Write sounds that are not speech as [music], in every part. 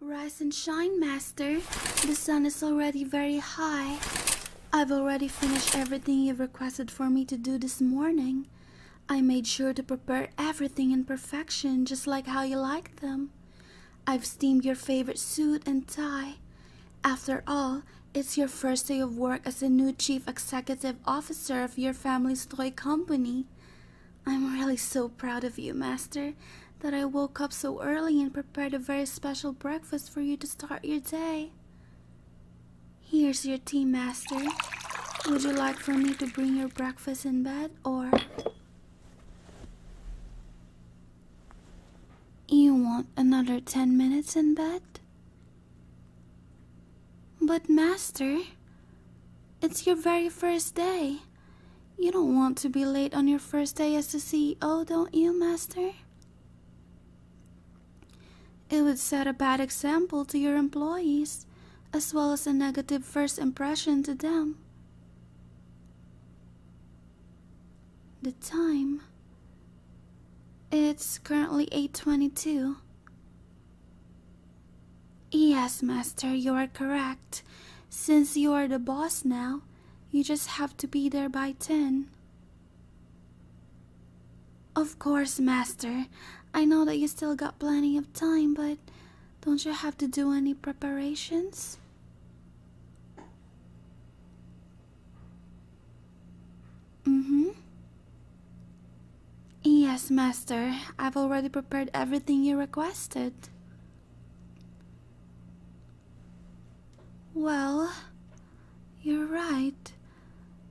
Rise and shine, Master. The sun is already very high. I've already finished everything you requested for me to do this morning. I made sure to prepare everything in perfection, just like how you like them. I've steamed your favorite suit and tie. After all, it's your first day of work as the new chief executive officer of your family's toy company. I'm really so proud of you, Master, that I woke up so early and prepared a very special breakfast for you to start your day. Here's your tea, Master. Would you like for me to bring your breakfast in bed, or... You want another ten minutes in bed? But, Master, it's your very first day. You don't want to be late on your first day as the CEO, don't you, Master? It would set a bad example to your employees, as well as a negative first impression to them. The time. It's currently 8:22. Yes, Master, you are correct. Since you are the boss now, you just have to be there by 10. Of course, Master. I know that you still got plenty of time, but don't you have to do any preparations? Mm hmm. Yes, master. I've already prepared everything you requested. Well, you're right.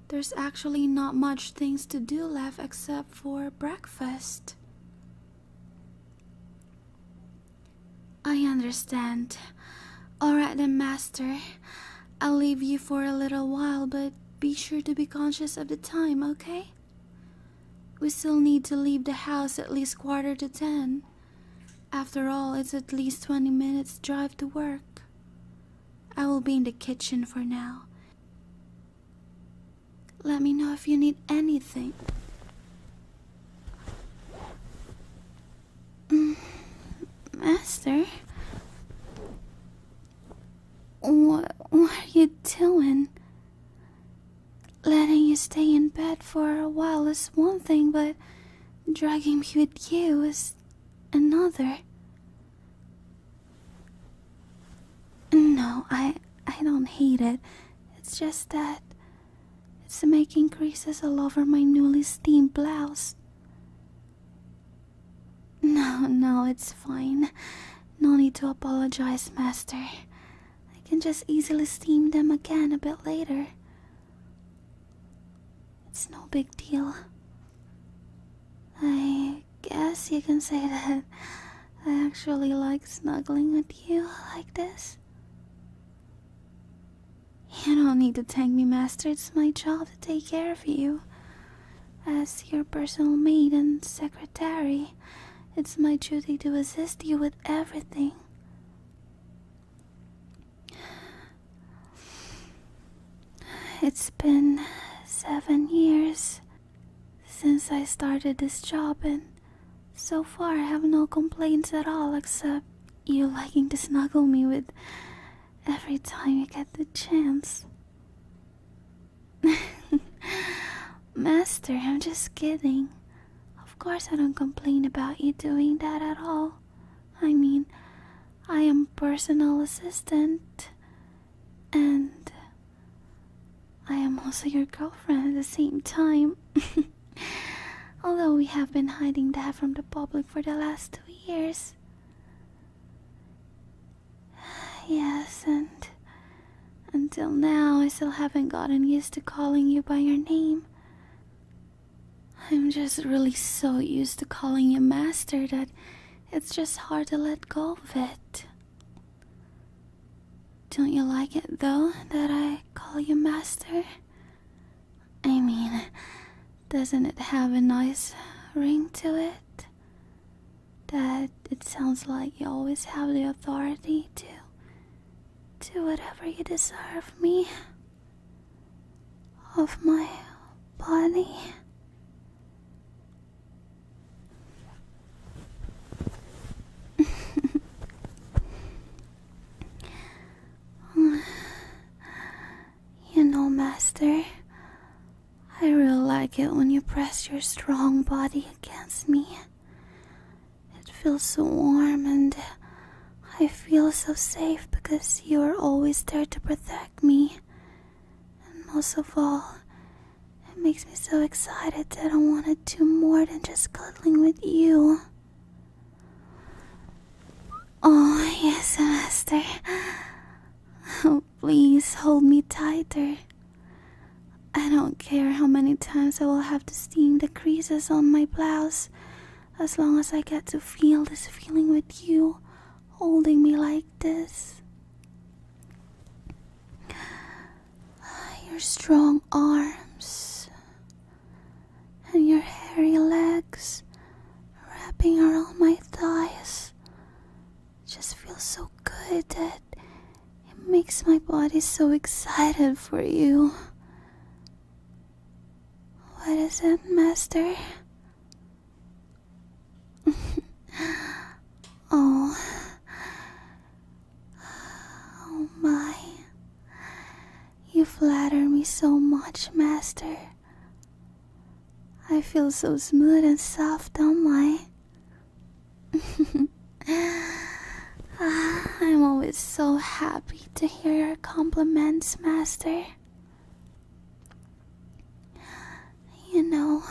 There's actually not much things to do left except for breakfast. I understand. Alright then, master. I'll leave you for a little while, but be sure to be conscious of the time, okay? We still need to leave the house at least quarter to ten. After all, it's at least 20 minutes' drive to work. I will be in the kitchen for now. Let me know if you need anything. Mm, master? What, are you doing? Letting you stay in bed for a while is one thing, but dragging me with you is another. No, I I don't hate it. It's just that it's making creases all over my newly steamed blouse. No, no, it's fine. No need to apologize, Master. I can just easily steam them again a bit later. It's no big deal. I guess you can say that [laughs] I actually like snuggling with you like this. You don't need to thank me, Master. It's my job to take care of you. As your personal maid and secretary, it's my duty to assist you with everything. It's been seven years since I started this job, and so far I have no complaints at all except you liking to snuggle me with every time you get the chance. [laughs] Master, I'm just kidding. Of course, I don't complain about you doing that at all. I mean, I am personal assistant and I am also your girlfriend at the same time. [laughs] Although we have been hiding that from the public for the last two years. [sighs] Yes, and until now I still haven't gotten used to calling you by your name. I'm just really so used to calling you master that it's just hard to let go of it. Don't you like it though that I call you master? I mean, doesn't it have a nice ring to it? that it sounds like you always have the authority to do whatever you desire of me, of my body. [laughs] you know, Master, I really like it when you press your strong body against me. It feels so warm and I feel so safe because you are always there to protect me. And most of all, it makes me so excited that I want to do more than just cuddling with you. Oh, yes, Master please hold me tighter. I don't care how many times I will have to steam the creases on my blouse, as long as I get to feel this feeling with you holding me like this. Your strong arms and your hairy legs wrapping around my thighs just feels so good that it makes my body so excited for you. What is it, Master? [laughs] oh. Oh my. You flatter me so much, Master. I feel so smooth and soft, don't I? [laughs] Ah, I'm always so happy to hear your compliments, Master. You know,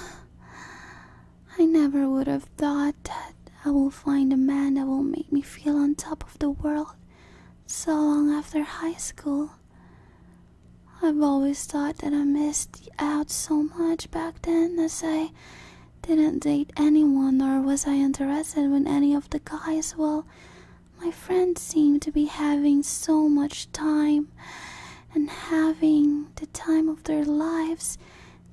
I never would have thought that I will find a man that will make me feel on top of the world so long after high school. I've always thought that I missed out so much back then as I didn't date anyone nor was I interested with any of the guys. Well, my friends seemed to be having so much time and having the time of their lives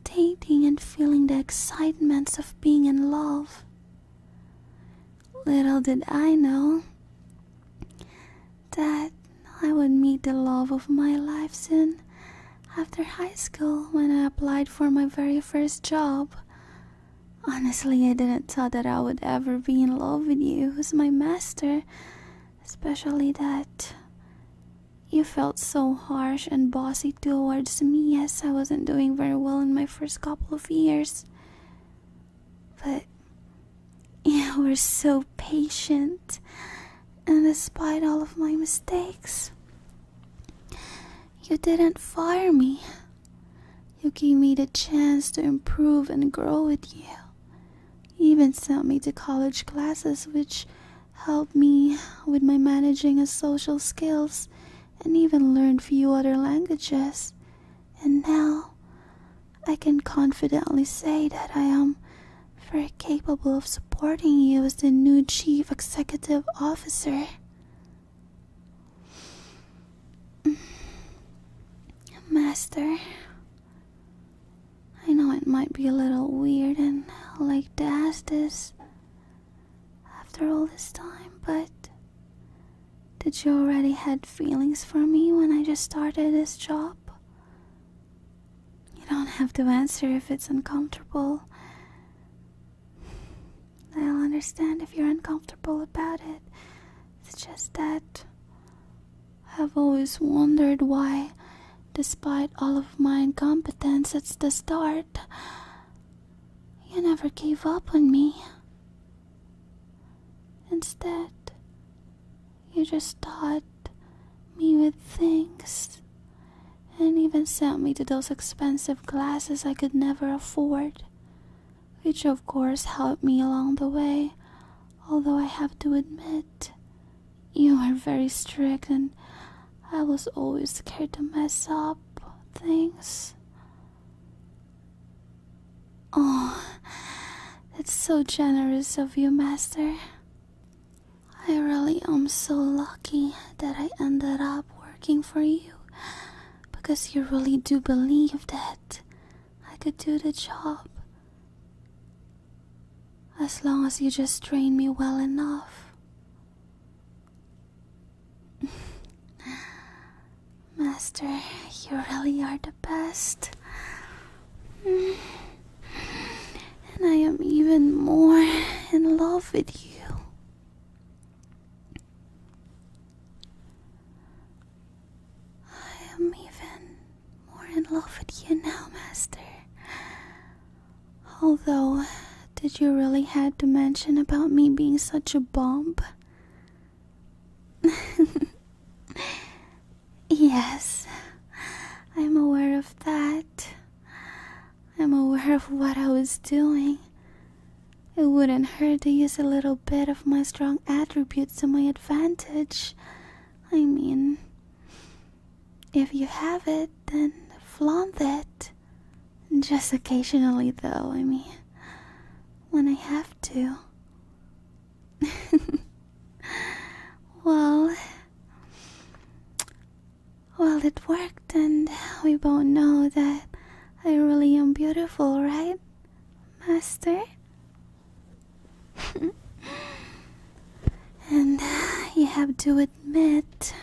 dating and feeling the excitements of being in love. Little did I know that I would meet the love of my life soon after high school when I applied for my very first job. Honestly, I didn't thought that I would ever be in love with you, who's my master, especially that you felt so harsh and bossy towards me as I wasn't doing very well in my first couple of years. But [laughs] You were so patient, and despite all of my mistakes, you didn't fire me. You gave me the chance to improve and grow with you. You even sent me to college classes, which helped me with my managing and social skills, and even learned few other languages. And now, I can confidently say that I am very capable of supporting you as the new chief executive officer. [sighs] Master, I know it might be a little weird and like to ask this after all this time, but did you already had feelings for me when I just started this job? You don't have to answer if it's uncomfortable. I'll understand if you're uncomfortable about it. It's just that I've always wondered why, despite all of my incompetence it's the start, you never gave up on me. Instead, you just taught me with things and even sent me to those expensive classes I could never afford, which of course helped me along the way, although I have to admit you were very strict and I was always scared to mess up things. Oh, it's so generous of you, Master. I really am so lucky that I ended up working for you because you really do believe that I could do the job. As long as you just train me well enough. [laughs] Master, you really are the best. And I am even more in love with you. I am even more in love with you now, Master. Although, did you really have to mention about me being such a bomb? [laughs] Yes, I'm aware of that. I'm aware of what I was doing. It wouldn't hurt to use a little bit of my strong attributes to my advantage. I mean, if you have it, then flaunt it. Just occasionally, though, I mean, when I have to. [laughs] well, well, it worked, and we both know that I really am beautiful, right, Master? [laughs] and you have to admit,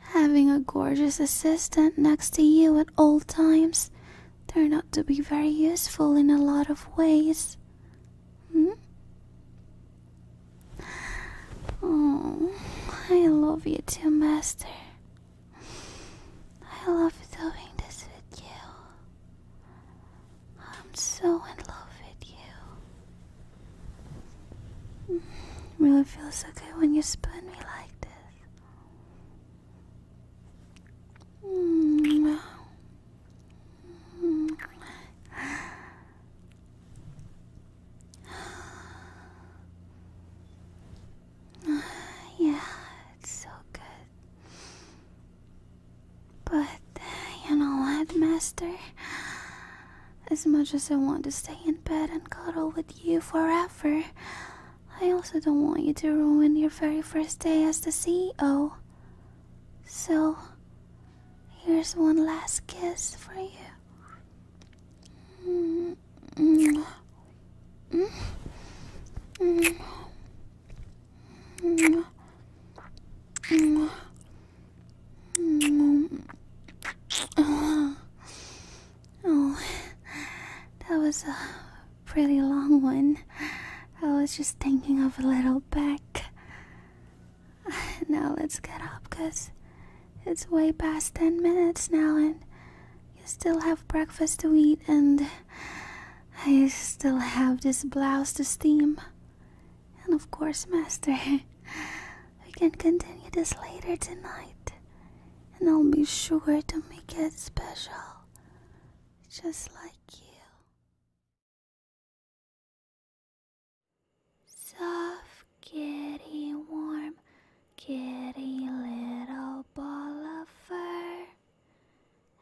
having a gorgeous assistant next to you at all times Turn out to be very useful in a lot of ways. Hmm? Oh, I love you too, Master. I love doing this with you. I'm so in love with you. Hmm, really feels so good when you spoon me like this. [sighs] yeah, it's so good. But you know what, Master? As much as I want to stay in bed and cuddle with you forever, I also don't want you to ruin your very first day as the CEO. So, here's one last kiss for you. Oh, that was a pretty long one. I was just thinking of a little back. Now let's get up, cause it's way past 10 minutes now, and you still have breakfast to eat, and I still have this blouse to steam. And of course, Master, [laughs] we can continue this later tonight, and I'll be sure to make it special. Just like Soft kitty, warm kitty, little ball of fur.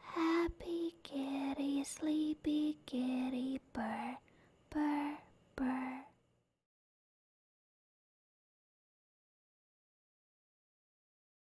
Happy kitty, sleepy kitty, purr, purr, purr.